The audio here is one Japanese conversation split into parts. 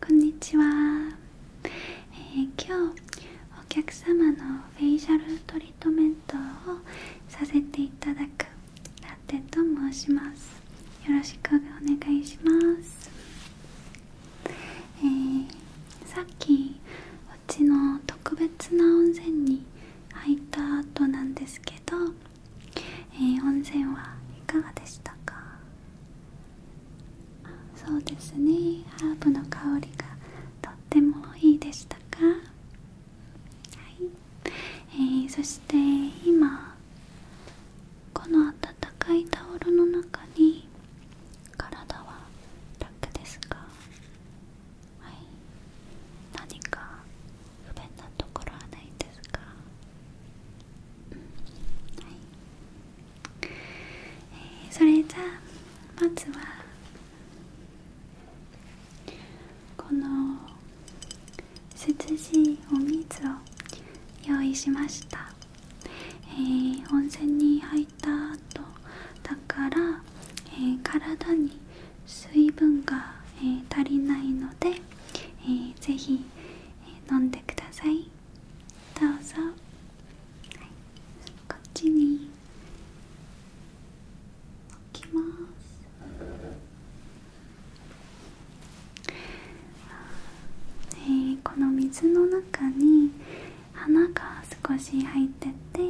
こんにちは、え今日お客様のフェイシャルトリートメントをさせていただくラテと申しますよろしくお願いします、えさっきうちの特別な温泉に入った後なんですけどえー、温泉はいかがでしたかそうですねハーブの香りがとってもいいでしたかはい、えそして今この温かいタオルの中に体は楽ですかはい何か不便なところはないですかうんはいそれじゃあまずはこの涼しいお水を用意しました、えー、温泉に入った後だから、えー、体に水分が、えー、足りないので、えー、ぜひ、えー、飲んでくださいどうぞ、こっちに置きますえー、この水の中に花が少し入ってて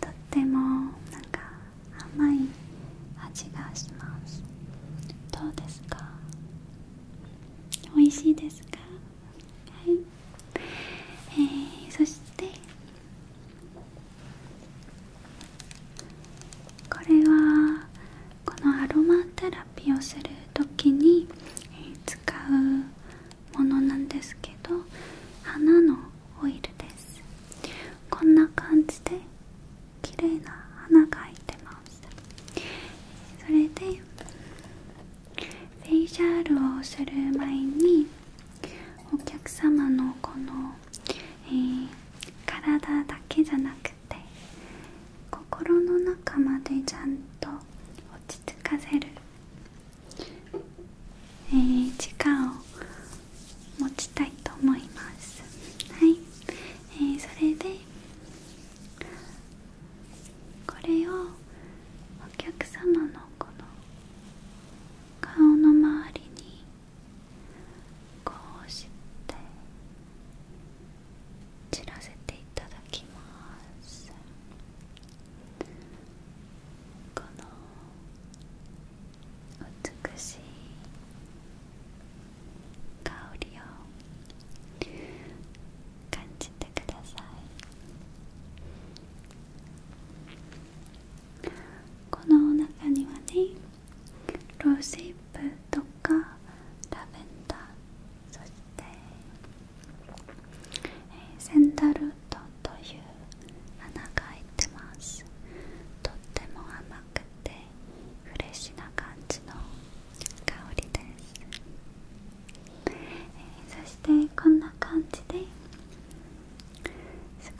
とってもなんか甘い味がしますどうですか美味しいですかはい、えー、そしてこれはこのアロマテラピーをする時に使うものなんですけど花のオイルですこんな感じで綺麗な花が入ってますそれでフェイシャールをする前にお客様のこの、え体だけじゃなくて心の中までちゃんと落ち着かせる、えー、力を持ちたいと思いますはい、えー、それでこれをお客様のこの顔の周りにこうして散らせていただきますこの美しい香りを感じてくださいこの中にはねロースイプとかラベンダーそして、えセンダルトという花が入ってますとっても甘くてフレッシュな感じの香りです、そしてこんな感じで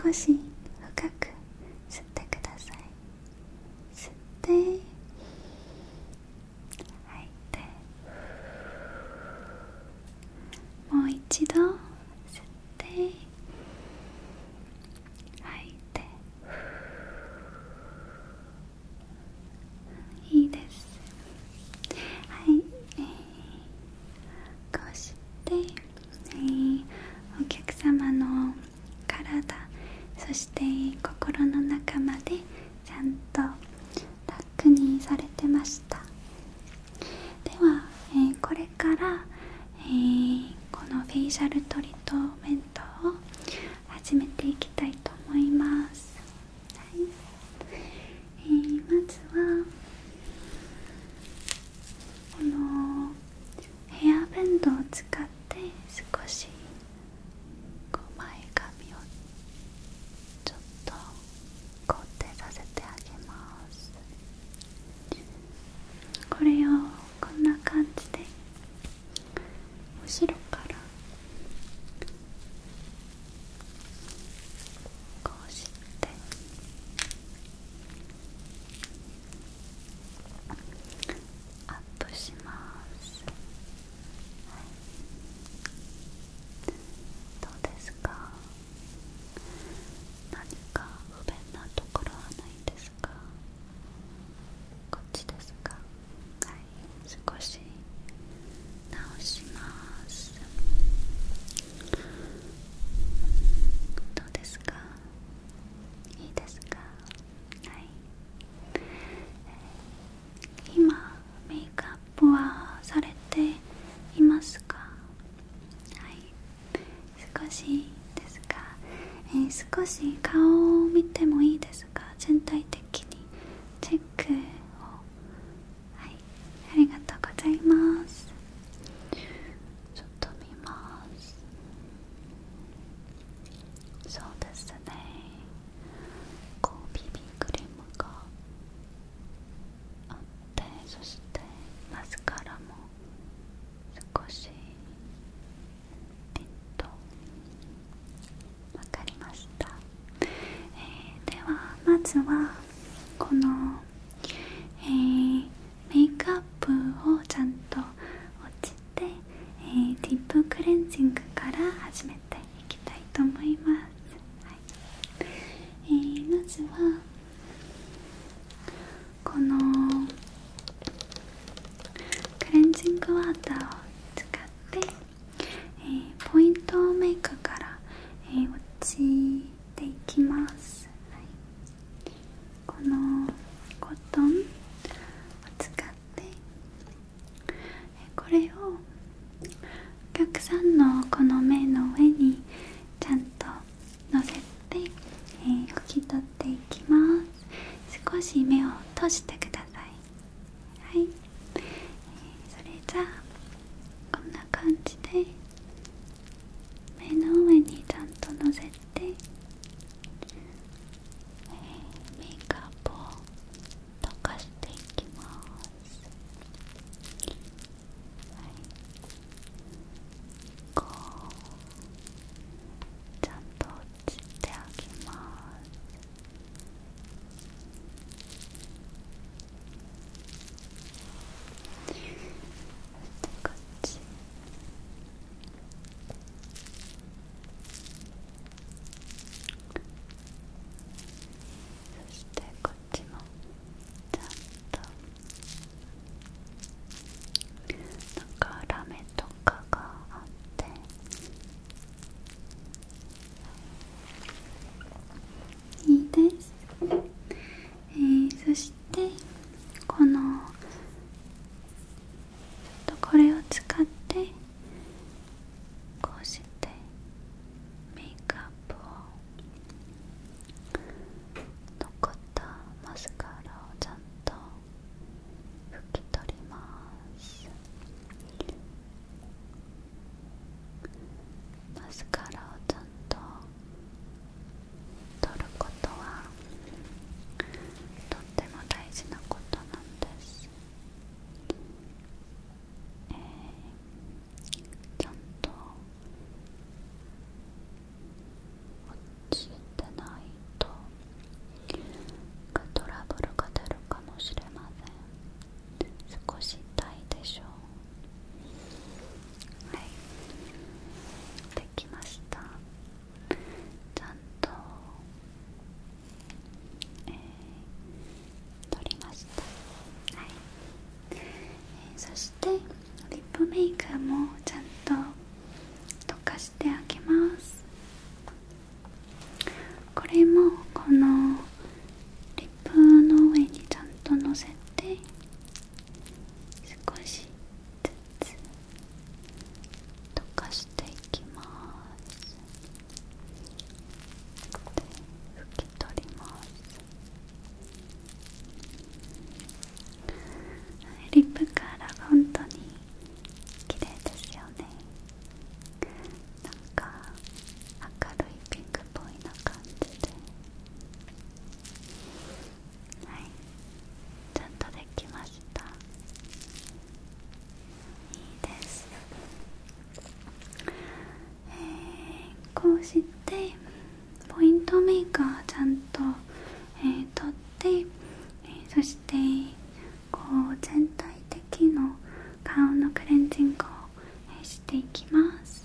少し深く吸ってください吸って吐いてもう一度吸って吐いていいですはい、えこうして、えお客様の体そして心の中までちゃんと楽にされてましたでは、えこれから、えこのフェイシャルトリートメントを始めていきたいと思います、えまずはこのヘアベンドを使って少し前髪をちょっと固定させてあげますこれをこんな感じで後ろからこうしてアップします、どうですか何か不便なところはないですかこっちですかはい、少し直しますどうですかいいですかはい、今メイクアップはされていますかはい少しですが、えー、少し顔を見てもいいですが全体的にチェックをはいありがとうございますちょっと見ますそうですねこうビビンクリムがあってそしてマスカラも少しえっとわかりました、えー、ではまずはこの、えー、メイクアップをちゃんと落ちて、えー、ディップクレンジングから始めていきたいと思います、はいえー、まずはこのクレンジングワーターを使って、えポイントメイクから、え落ちていきます、このコトンを使って、えこれをお客さんのこの目の上にちゃんとのせて、えー、拭き取っていきます少し目を閉じてはい、それじゃあこんな感じで目の上にちゃんとのせて、メイクアップを溶かしていきますはいこうちゃんとしてあげますそしてこっちそしてこっちもちゃんとなんかラメといいです、えそしてこのとこれを使ってこうしてメイクアップを残ったマスカラをちゃんと拭き取りますマスカラをちゃんと取ることはとっても大事なことなんです、えー、ちゃんと落ちてないとトラブルが出るかもしれません少し痛いでしょうできましたちゃんと、取りましたそしてリップメイクもちゃんと溶かして。してあますこれもこのリップの上にちゃんとのせて少しずつ溶かしていきます拭き取りますリップカラ本当に綺麗ですよねなんか明るいピンクっぽいな感じではいちゃんとできましたいいですえこうしてポイントメーカーちゃんと、えー、取って、えそしてこう全体的の顔のクレンジングをしていきます、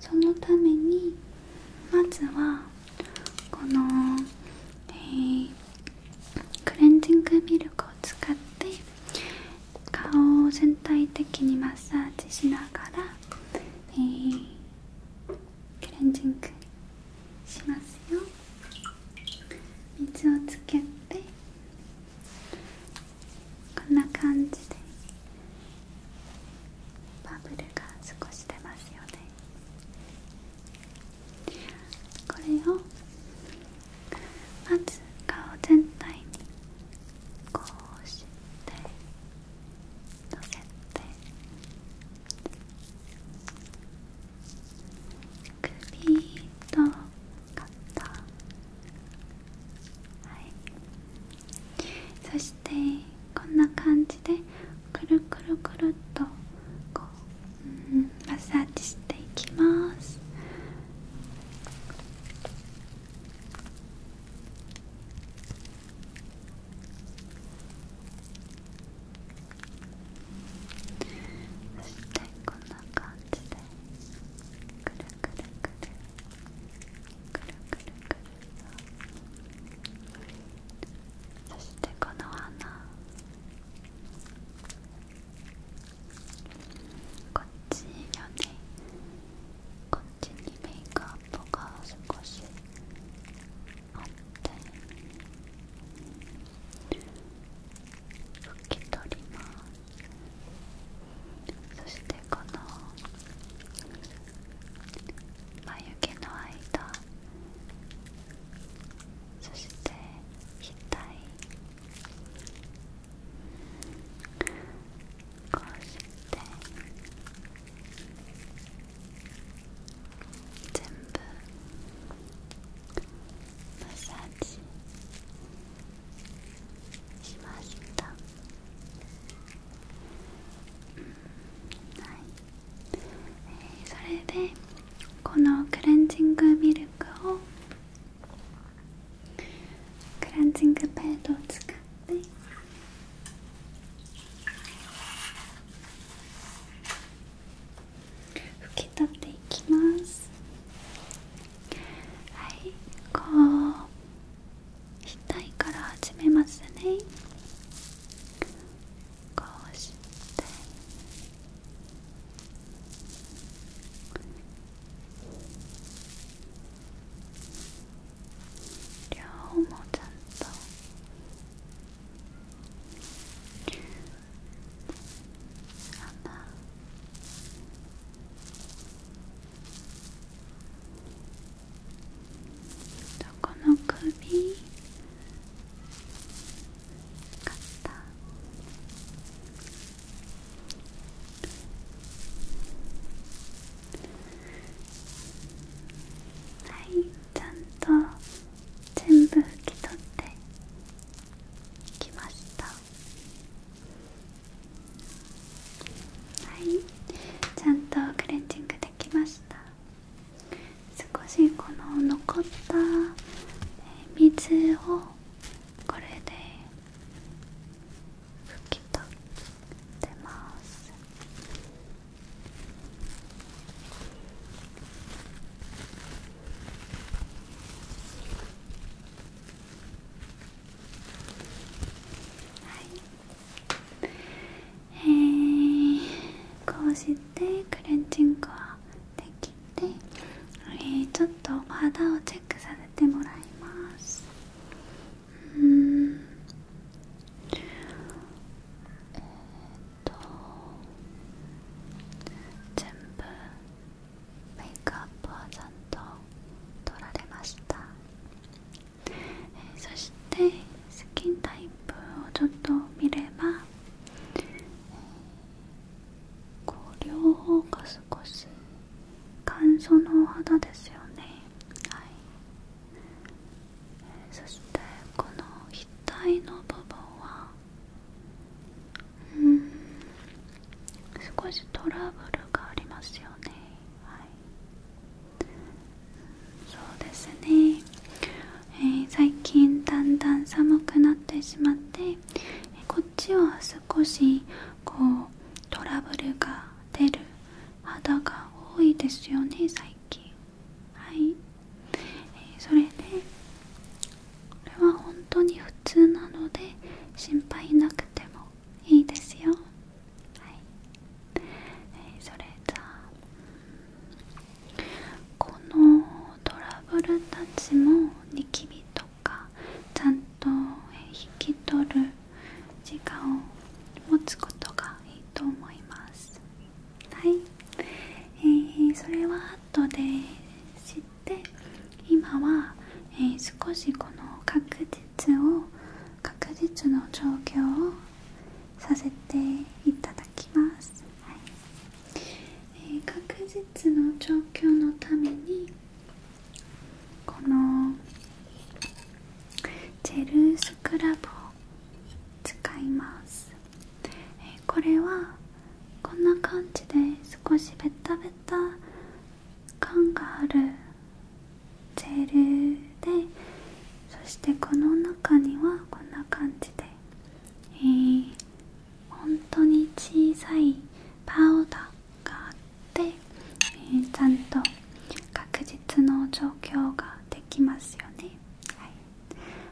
そのためにまずはこの、えクレンジングミルクを使って顔を全体的にマッサージしながら、えクレンジングしますよ。水をつけてこんな感じでバブルが少し出ますよねこれをまず顔全体にこうしてのせてくと肩そしてこんな感じでくるくるくるっとこう、マッサージしていきますそしてこんな感じでくるくるくるくるくるくるそしてこの花こっちよねこっちにメイクアップが少しあって拭き取りますそしてこの眉毛の間そして額こうして全部マッサージしました、はえー、それでこのクレンジングミルクをクレンジングペードを使って拭き取っていきますはいこう額から始めますねこうして両方もちゃんと花どこの首肩はいちゃんと全部拭き取ってきましはいちゃんとクレンジングできました少しこの残った水をこれで拭き取ってますはい。えー、こうしてクレンジングはできて、えー、ちょっとお肌をチェックさせてもらいますうんえー、っと全部メイクアップはちゃんと取られました、そしてスキンタイプをちょっと見れば、こう両方が少し乾燥のお肌ですよねはい、そしてこの額の部分はうん少しトラブルがありますよねはいそうですね、え最近だんだん寒くなってしまってこっちは少しこうトラブルが出る肌が多いですよね最近はいえそれでこれは本当に普通なので心配なくてもいいですよはい、えそれじゃあこのトラブルたちもニキビとかちゃんと引き取る時間を持つことがいいと思いますはい、えー、それは後で知っっ今は、え少しこの確実を確実の状況をさせていただきます、え確実の状況のためにこのジェルスクラブを使いますえこれはこんな感じで少しベタベタ感があるジェルでそしてこの中にはこんな感じで、えー、本当に小さいパウダーがあって、えちゃんと確実の状況ができますよね、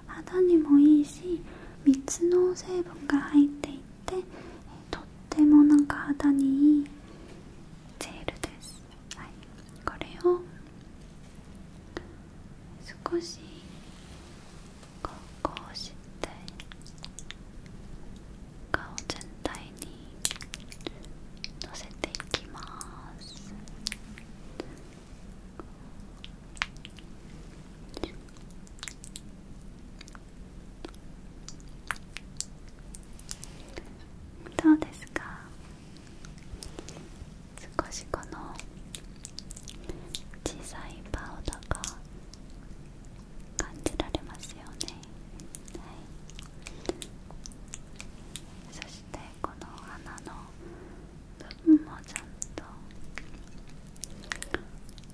肌にもいいし3つの成分が入っていてとってもなんか肌にいいジェルです、これを少しこうして顔全体にのせていきます。どうですか少しこの小さいパウダーが感じられますよねそしてこの花の部分もちゃんと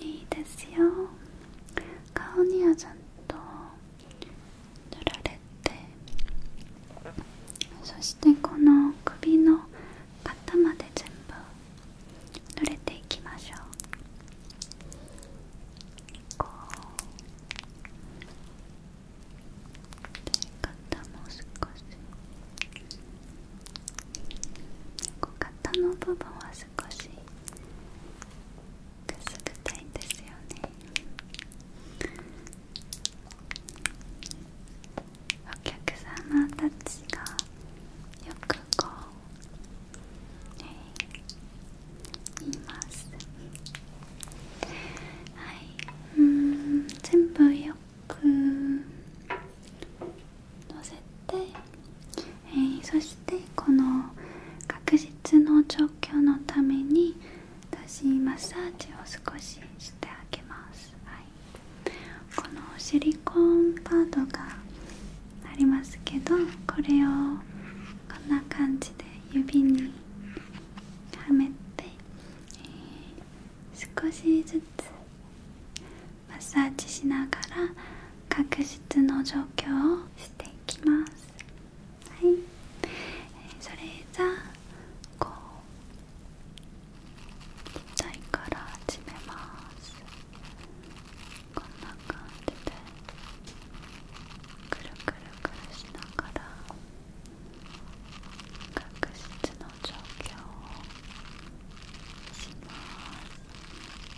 いいですよ顔にはちゃんと塗られてそしてこの首の肩まで全部塗れていきましょうこう肩も少し肩の部分はし少しくすぐたいですよねお客様たちがよくこう、ね、いますはいうん全部よくのせて、えそしてこの確実の状況のために私マッサージを少ししてあげます、はい、このシリコンパードがありますけどこれをこんな感じで指にはめて、少しずつマッサージしながら角質の状況をしていきますはいそれじゃこう小さいから始めますこんな感じでくるくるくるしながら確実の状況をします。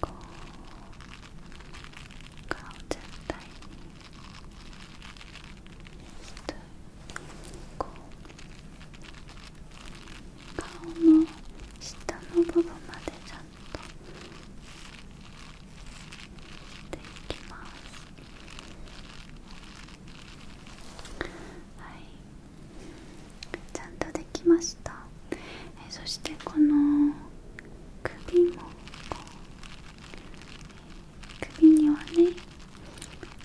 こう顔全体にこう顔の下の部分までちゃんとしていきますはいちゃんとできましたえそしてこの首もこう首にはね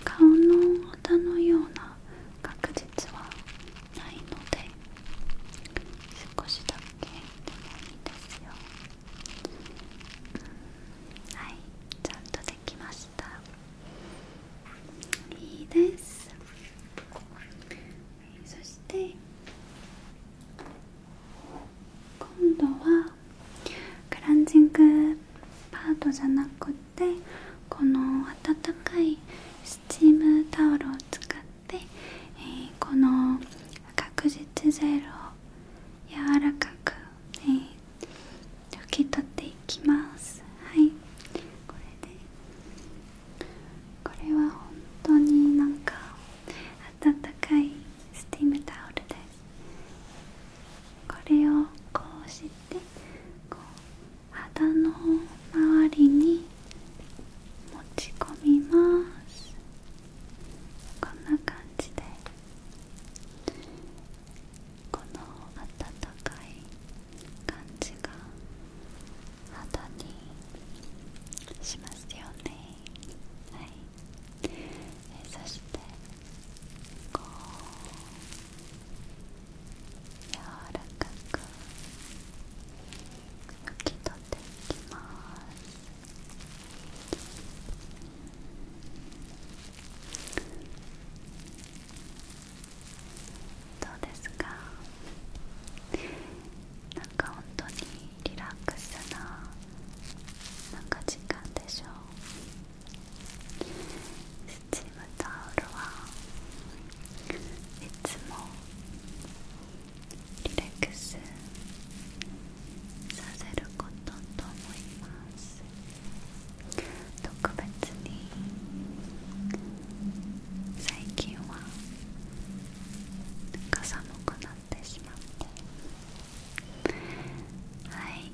顔の肌のような確実はないので少しだけでもいいですよ、はいちゃんとできましたいいですそして今度はクランジングパートじゃなくてこの温かいスチームタオルを使って、えこの確実ジェルを柔らかく、えー、拭き取っていきますはいこれでこれは本当になんか温かいスティムタオルですこれをこうしてこう肌の周りに持ち込みますこんな感じでこの温かい感じが肌にしますよねはいそしてこう柔らかく拭き取っていきますどうですかなんか本当にリラックスななんか時間でしょうスチームタオルはいつもリラックスさせることと思います特別に最近はなんか寒くなはい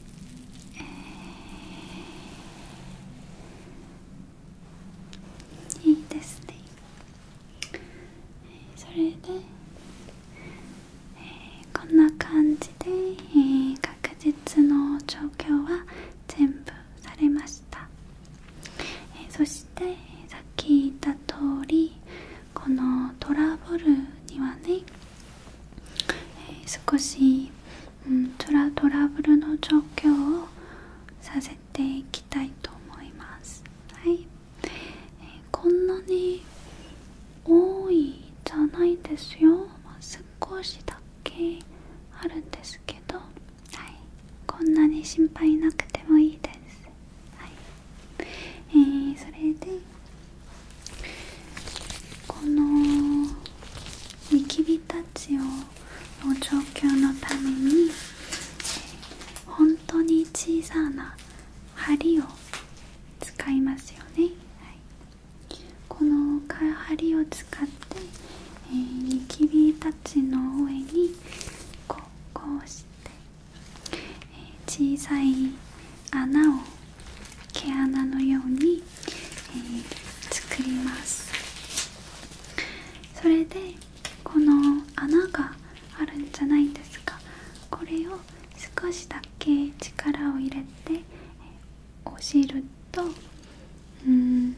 えいいですねそれで、えこんな感じで、えー、確実の状況は全部されましたえそして、さっき言った通りこのトラブルにはね、え少し、うん、トラトラブルの状況をさせていきたいと思いますはい、えー、こんなに多いじゃないですよ、少しだけあるんですけどはいこんなに心配なくてもいいですえそれでこのニキビたちをの状況のために本当に小さな針を使いますよね、この針を使って、えニキビたちの上にこうして小さい穴を毛穴のように、え作りますそれでこの穴があるんじゃないですかこれを少しだけ力を入れてお汁とうん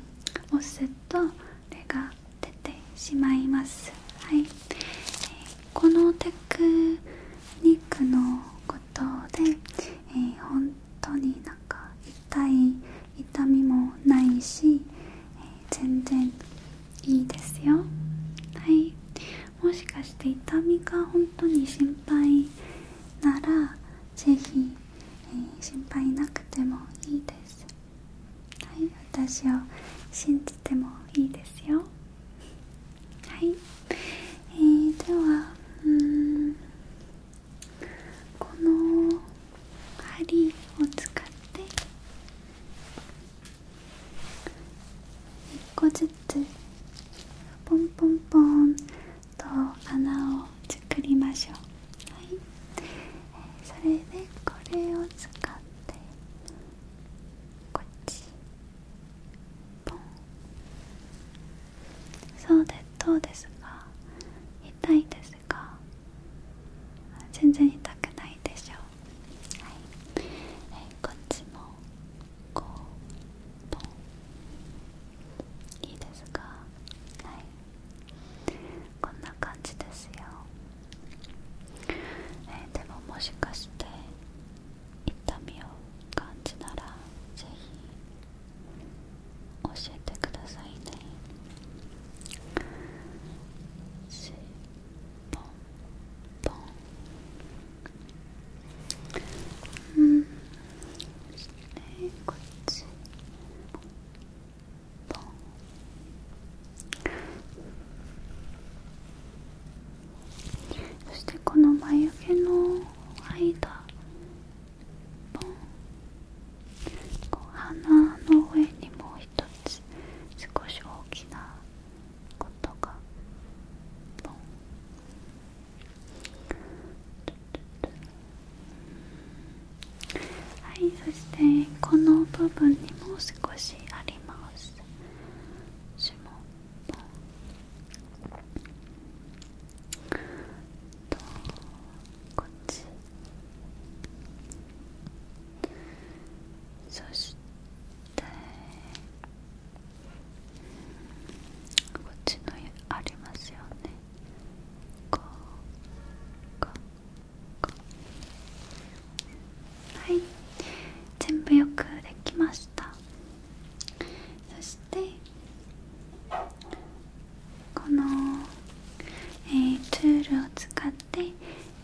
お酢とレガ出てしまいますはい、えー、このテクニックのことで、え本当になんか痛い痛みもないし、え全然いいですよはいもしかして痛みが本当に心配なら是非え心配なくてもいいですはい、私を信じてもいいですよはい、えー、ではうんこの針を使って一個ずつポンポンポンと穴を作りましょうはい、えー、それでこれを使って。こっちポンそうでどうですか痛いですか全然痛くないでしょうはい、えこっちもこうポンいいですかはいこんな感じですよえでももしかして痛みを感じたらぜひ教えてくださいねしポンポンうんそしてこっちポンそしてこの眉毛の間こう鼻の上にもう一つ少し大きなことがポンはいそしてこの部分にも少しありますです指紋もとこっちそしてこっちのありますよねこうこうはい全部よくできましたそしてこの、えー、ツールを使って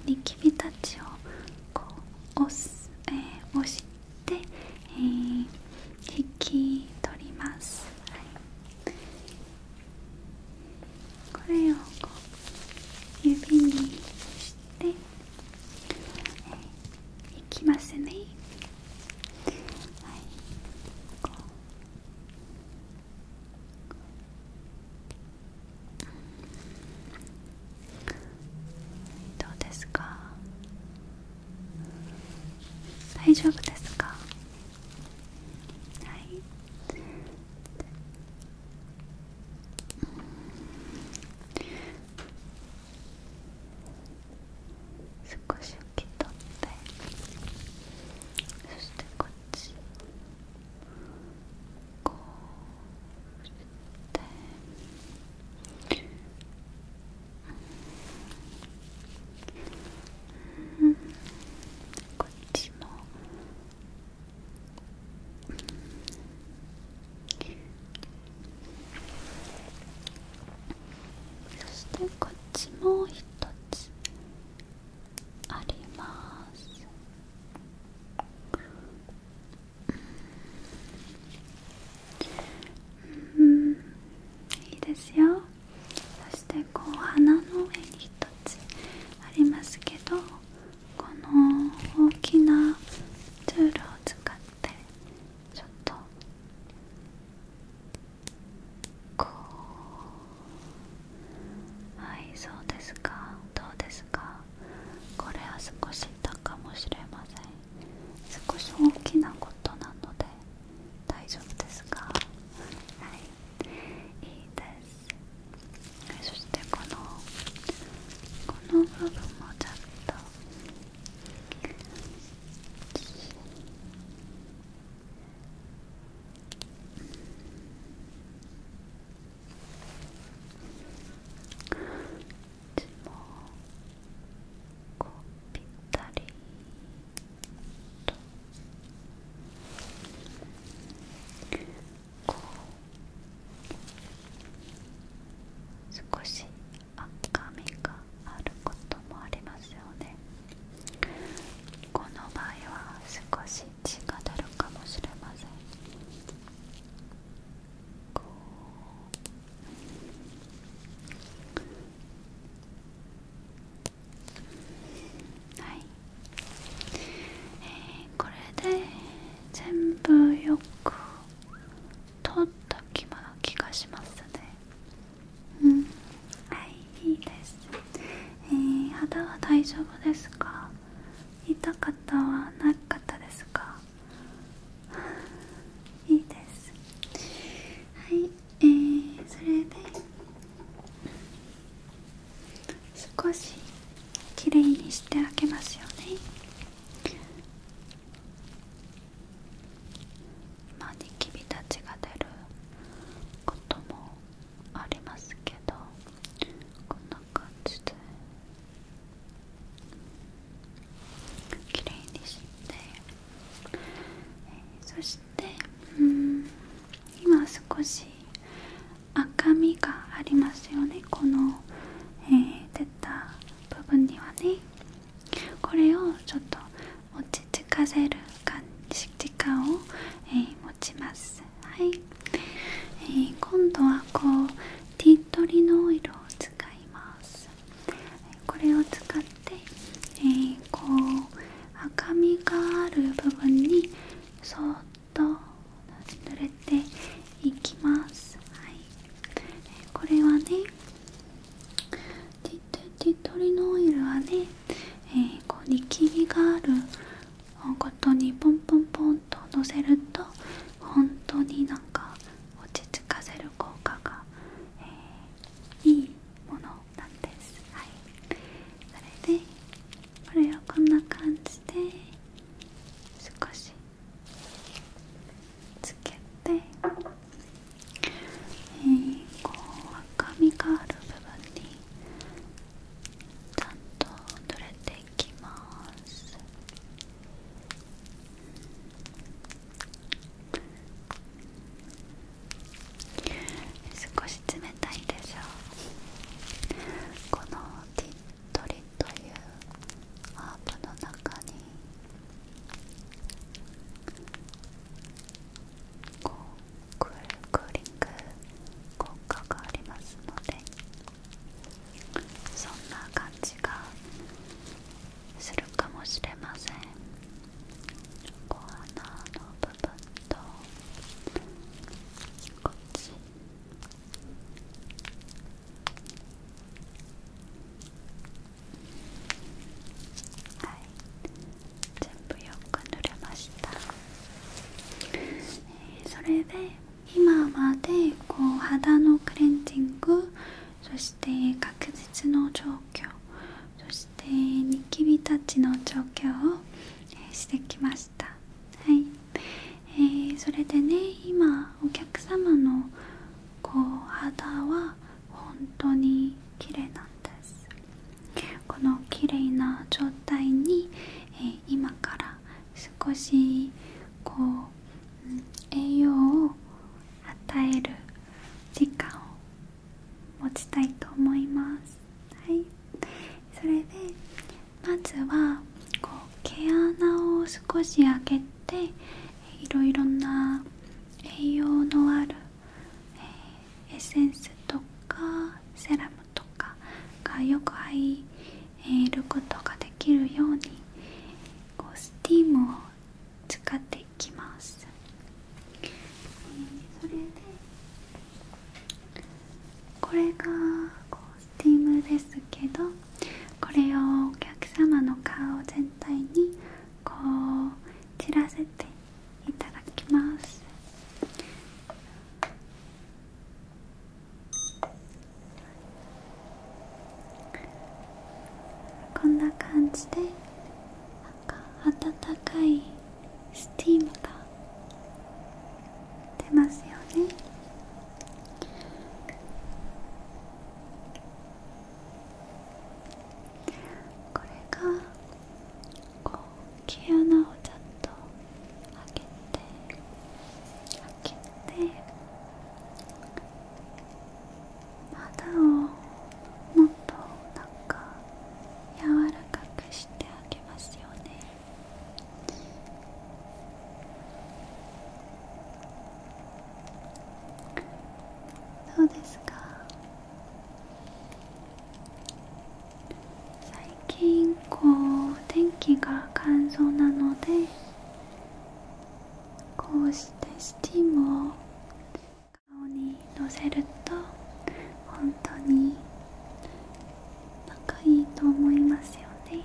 ニキビたちをこう押す、えー、押して、えー、引き取ります、これをこう指にしてえいきますね、はい、こうどうですか大丈夫ですかはい少し拭き取ってそしてこっちこうしてこっちもそしてこっちも一つありますうんいいですよそしてこう鼻の上に一つありますけどこの大きなツールを使ってちょっとこうはいそうですかどうですかこれは少し痛かもしれません少し大きなことなので大丈夫ですかはいいいですそしてこのこの部分もちゃんともこうぴったりと。こう少し赤みがあることもありますよねこの場合は少し血が出るかもしれませんこうはいえー、これで全部よく取った気がしますねうんはいいいですえー、肌は大丈夫ですか痛かったはなかったですか いいですはいえー、それで少しきれいにしてあげますよねまあニキビたちが出ることもありますけどこんな感じで綺麗にして、そしてうん今少し赤みがありますよねこの、え出た部分にはねこれをちょっと落ち着かせる感じ時間を、え持ちますはい、えー、今度はこうティートリのオイルを使いますこれを使って、えこう赤みがある部分にそっと濡れていきますはいこれはねティトリノオイルはね、えこうニキビがあるごとにポンポンポンとのせると本当になんか落ち着かせる効果が、いいものなんですはいそれでこれをこんな感じで少しつけて、赤みがある部分にちゃんと取れていきます少し冷たいでしょうこの鳥というハーブの中にこうクールクーリン効果がありますのでそんな感じがするかもしれませんお花の部分とこっちはい全部よく塗れました、それで今までこう肌のクレンジングそして確実の状況そしてニキビたちの状況をしてきましたはいえそれでね今お客様のこう肌は本当に綺麗なんですこの綺麗な状態に、え今から少しこう、栄養を与える時間を持ちたいと思いますはいそれでまずは毛穴を少し開けていろいろな栄養のある、エッセンスとかセラムとかがよく入ることができるようにこうスティームを使っていきます。これがスティームですけどこれをお客様の顔全体にこらせていただきますこんな感じで温かいスティームが出ますよねこれがこう毛穴をちょっと開けて開けて肌をもっとなんか柔らかくしてあげますよねどうですか最近こう天気が乾燥なのでこうしてスチームを顔にのせると本当に仲いいと思いますよね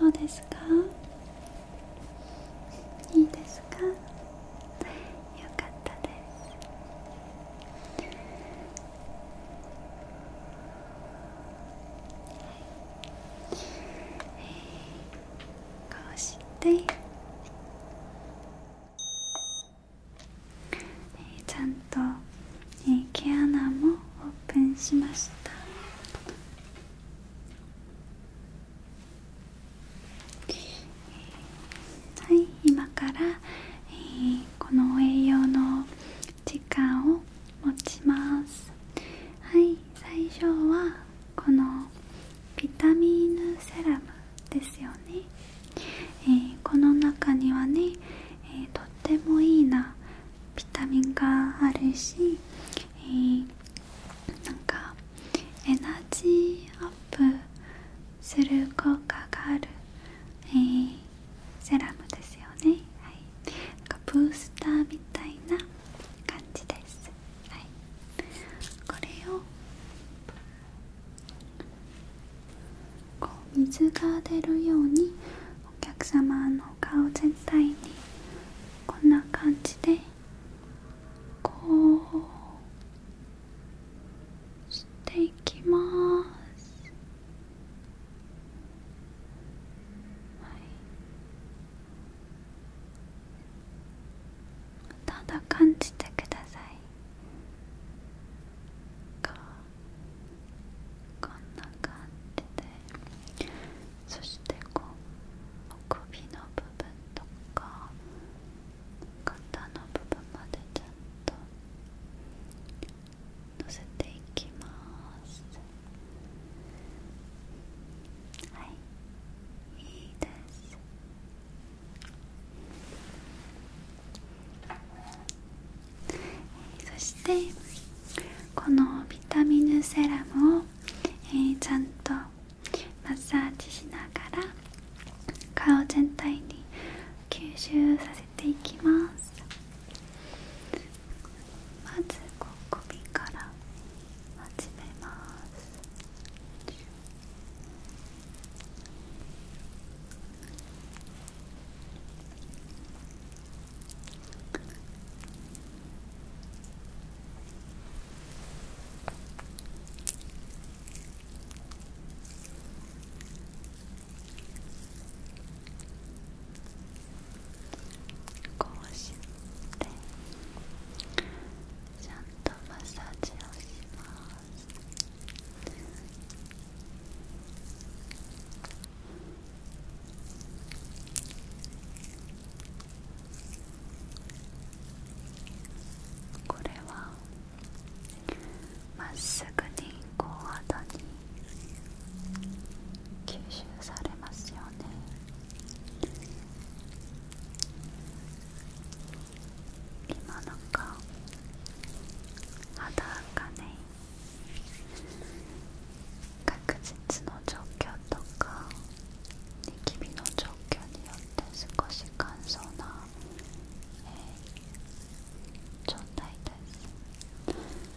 どうですかいいですかよかったですこうしてちゃんとえ毛穴もオープンしましたはい今から、えこの栄養の時間を持ちますはい最初はこのビタミンセラムですよね、えこの中にはね、えとってもいいなビタミンがあるし、えー、なんかエナジーアップする効果がある、えー、セラムですよね、はい、なんかブースターみたいな感じです、はい、これをこう水が出るようにお客様の顔全体にこんな感じでこうしていきます、はい、ただ感じてくださいここんな感じでそしてこうお首の部分とか肩の部分までちゃんとのせていきますはいいいですそしてこのビタミンセラムを、ちゃんとマッサージしながら顔全体に吸収させていきますまずこ首から始めますこうしてちゃんとマッサージをします。これはまっすぐにこう肌に吸収されますよね今のんか肌がね確実の状況とかニキビの状況によって少し乾燥な、状態で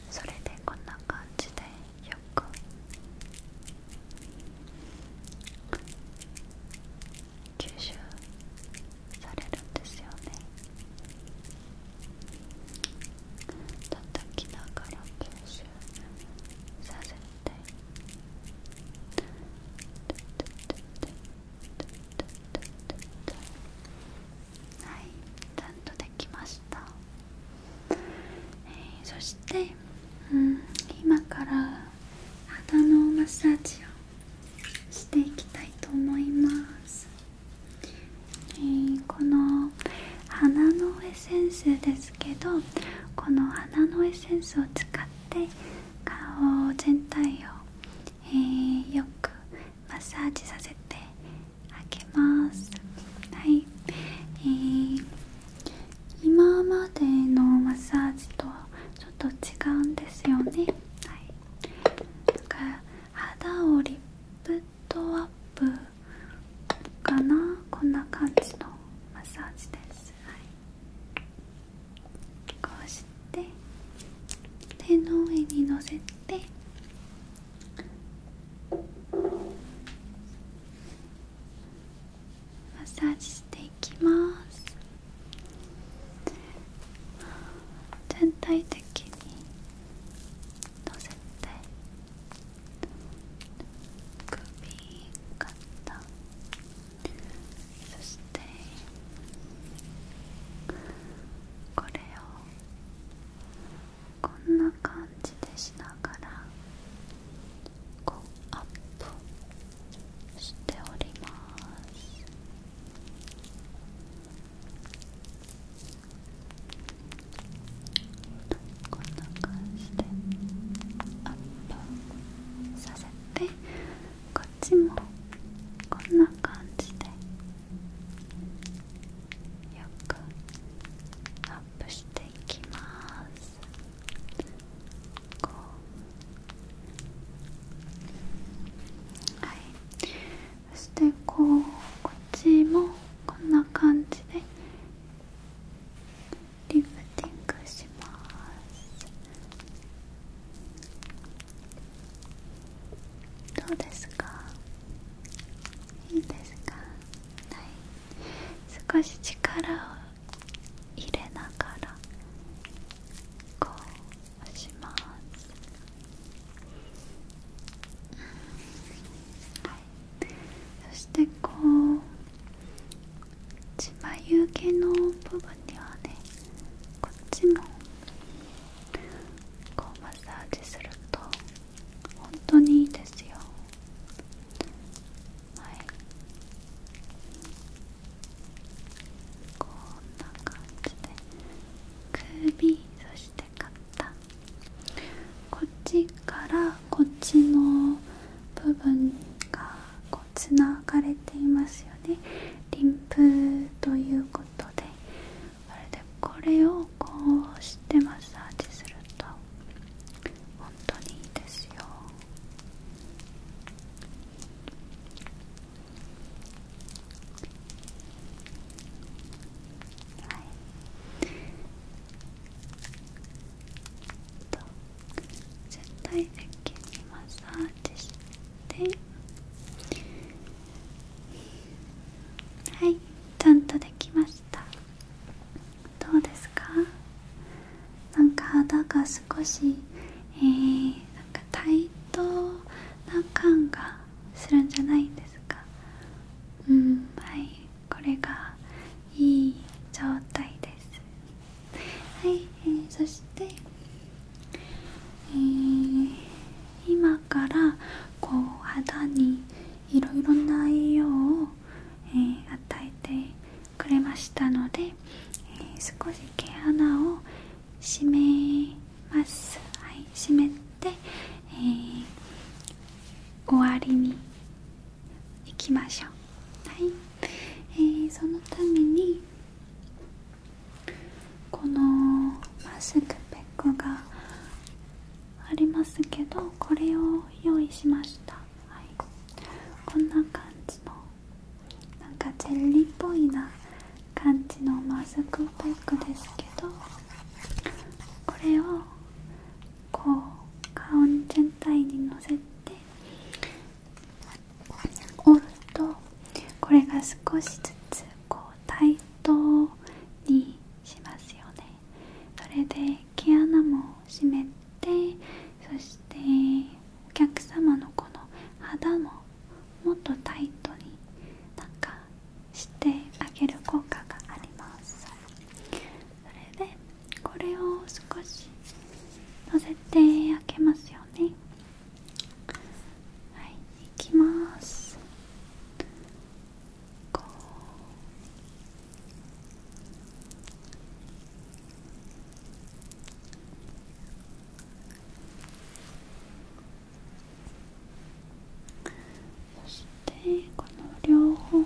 すそれでこんな感じでよく吸収されるんですよね叩きながら吸収させてはいちゃんとできました、えそして、うん、今から鼻のマッサージをしていきたいと思います。えこの花のエッセンスですけどこの花のエッセンスを使って顔全体を、えよくマッサージさせてあげますはい、え今までのマッサージとはちょっと違うんですよねはいな肌をリップトアップかなこんな感じのマッサージです、こうして手の上にのせてマッサージしていきます全体的にのせて首肩そしてこれをこんな感じでしながらこうアップしておりますこんな感じでアップさせてこっちもこんな感じでよくアップしていきますこうはいそしてこうこっちもこんな感じでリフティングしますどうですかいいですかはい少し力を入れながらこう押しますはいそしてこう血眉毛の部分にはねこっちもこうマッサージすると本当にいいですよはいこんな感じで首そして肩こっちからこっちの部分がこうつながれていますよねリンプということでこれでこれをこうしてマッサージすると本当にいいですよはいと全体的にマッサージてはいちゃんとできましたどうですかなんか肌が少しえー、なんか対等な感がするんじゃないんですかうんはいこれがいい状態ですはい、えー、そして、え今からこう肌にいろいろな栄養を、え与えてくれましたので、え少し毛穴を締めますはい、締めて、え終わりにいきましょうはい、えー、そのためにこのマスクペックがありますけどこれを用意しました、はい、こんな感じのなんかジェリーっぽいな感じのマスクペックですけどこれをこう顔全体にのせて折るとこれが少しずつこう対等にしますよねそれで毛穴も閉めてそしてお客様のこの肌ももっとタイトになんかしてあげる効果がありますそれでこれを少しのせて開けますよねはいいきますこしてこの両方の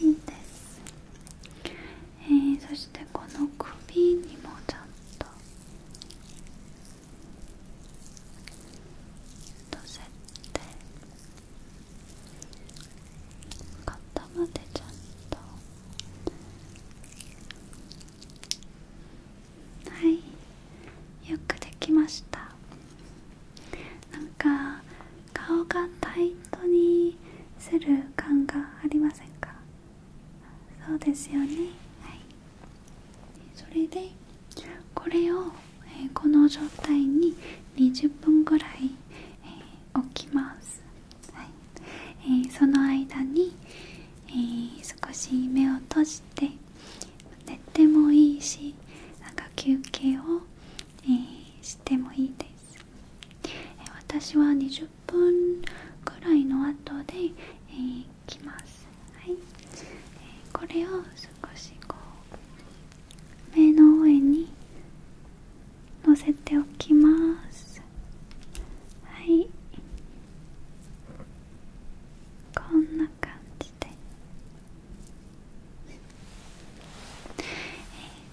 いいです、えー、そしてこの首にもちゃんと乗せて肩までちゃんとはいよくできましたなんか顔がタイトにする感がありませんかそうですよねはいそれでこれを、えこの状態に20分ぐらい、え置きます、はいえー、その間に、え少し目を閉じて寝てもいいしなんか休憩を、してもいいです、私は20分くらいの後で、えます、これを少しこう目の上にのせておきますはいこんな感じ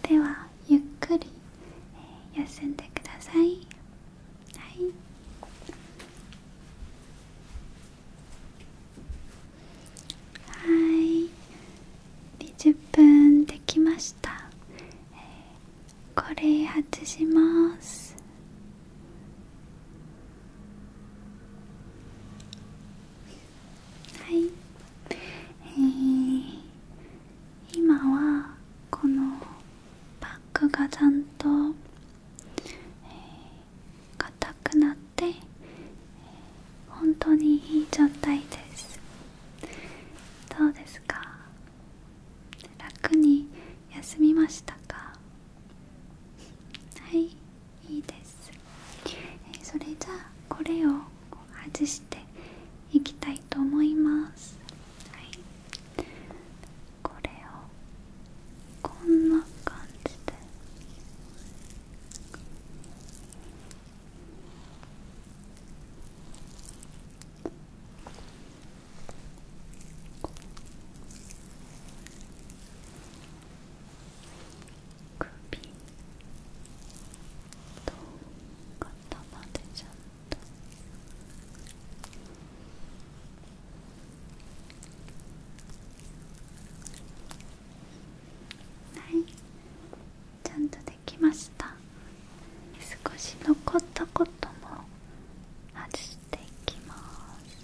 で、ではゆっくり、休んでくださいはいはい20分できました、えこれ外します。はい、え今はこのバッグがちゃんと硬、えー、くなって、えー、本当にいい状態ですどうですか楽に休みましたかはいいいです、それじゃあこれを外していきたいと思いますはいこれをこんな感じでこ首と肩までちゃんとはいちゃんとできました少し残ったことも外していきます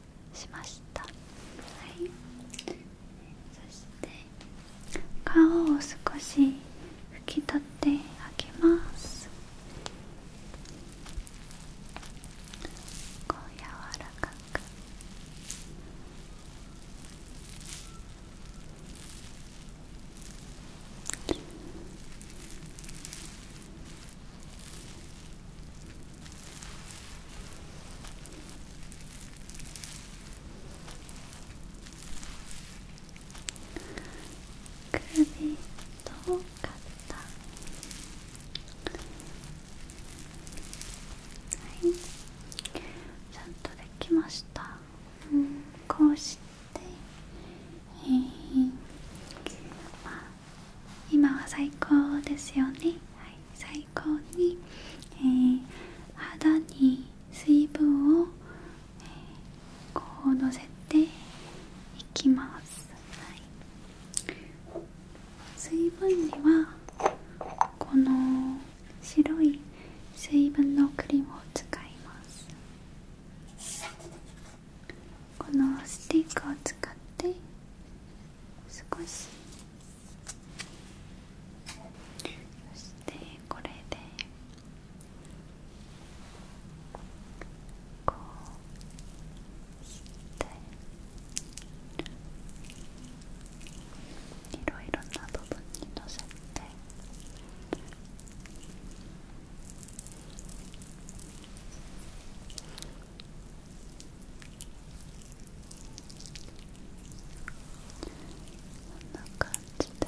しましたそして顔を少し拭き取ってあげますこう柔らかく首と肩はいちゃんとできました、うん、こうして、えーまあ、今は最高ですよねはい最高に、肌に水分を、こうのせていきます、はい、水分にはこの白い水分のクリームを使いますこのスティックを使って少しそしてこれでこうしていろいろな部分にのせて。こんな感じで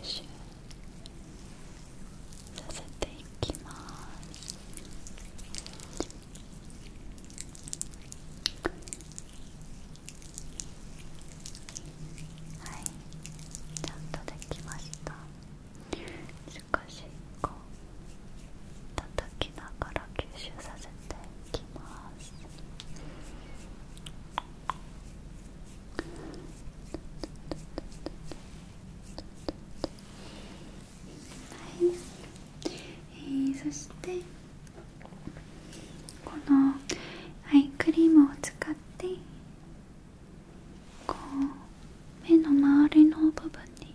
吸収させていきますはいちゃんとできました少しこう叩きながら吸収させていきますはい、えー、そしてこのアイクリームを使ってこう目の周りの部分に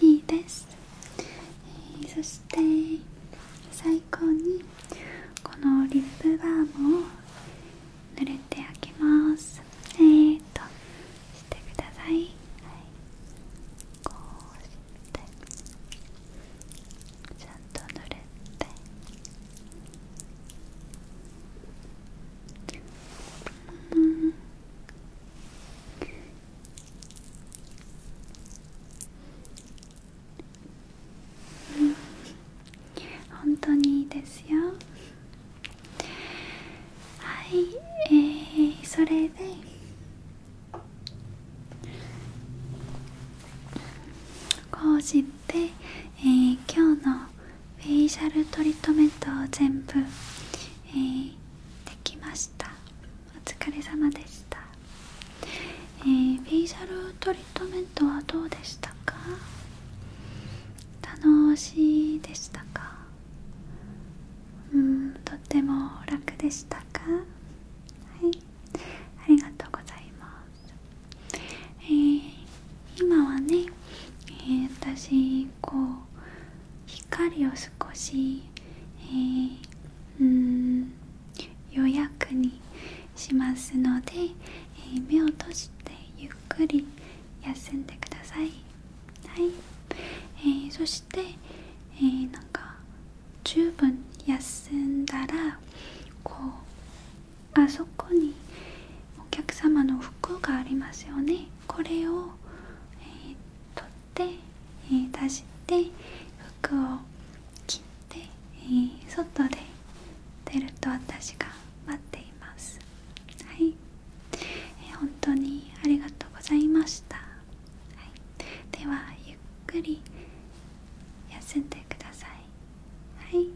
いいです、えー、そして最高にこのリップバームを塗れてあげますえーとしてください、はい、こうしてちゃんと塗れてうんうん。本当にいいですよはいえー、それでこうして、えー、今日のフェイシャルトリートメントを全部、えー、できましたお疲れ様でした、えー、フェイシャルトリートメントはどうでしたか楽しいでしたかうんとっても楽でしたかはいありがとうございますえー、今はね、え私こう光を少し、えー、うん予約にしますので、え目を閉じてゆっくり休んでくださいはい、えそして、えなんか十分休んだらこうあそこにお客様の服がありますよねこれを、っえ出して服を切って、え外で出ると私が待っていますはい、えー、本当にありがとうございました、はい、ではゆっくり休んでくださいはい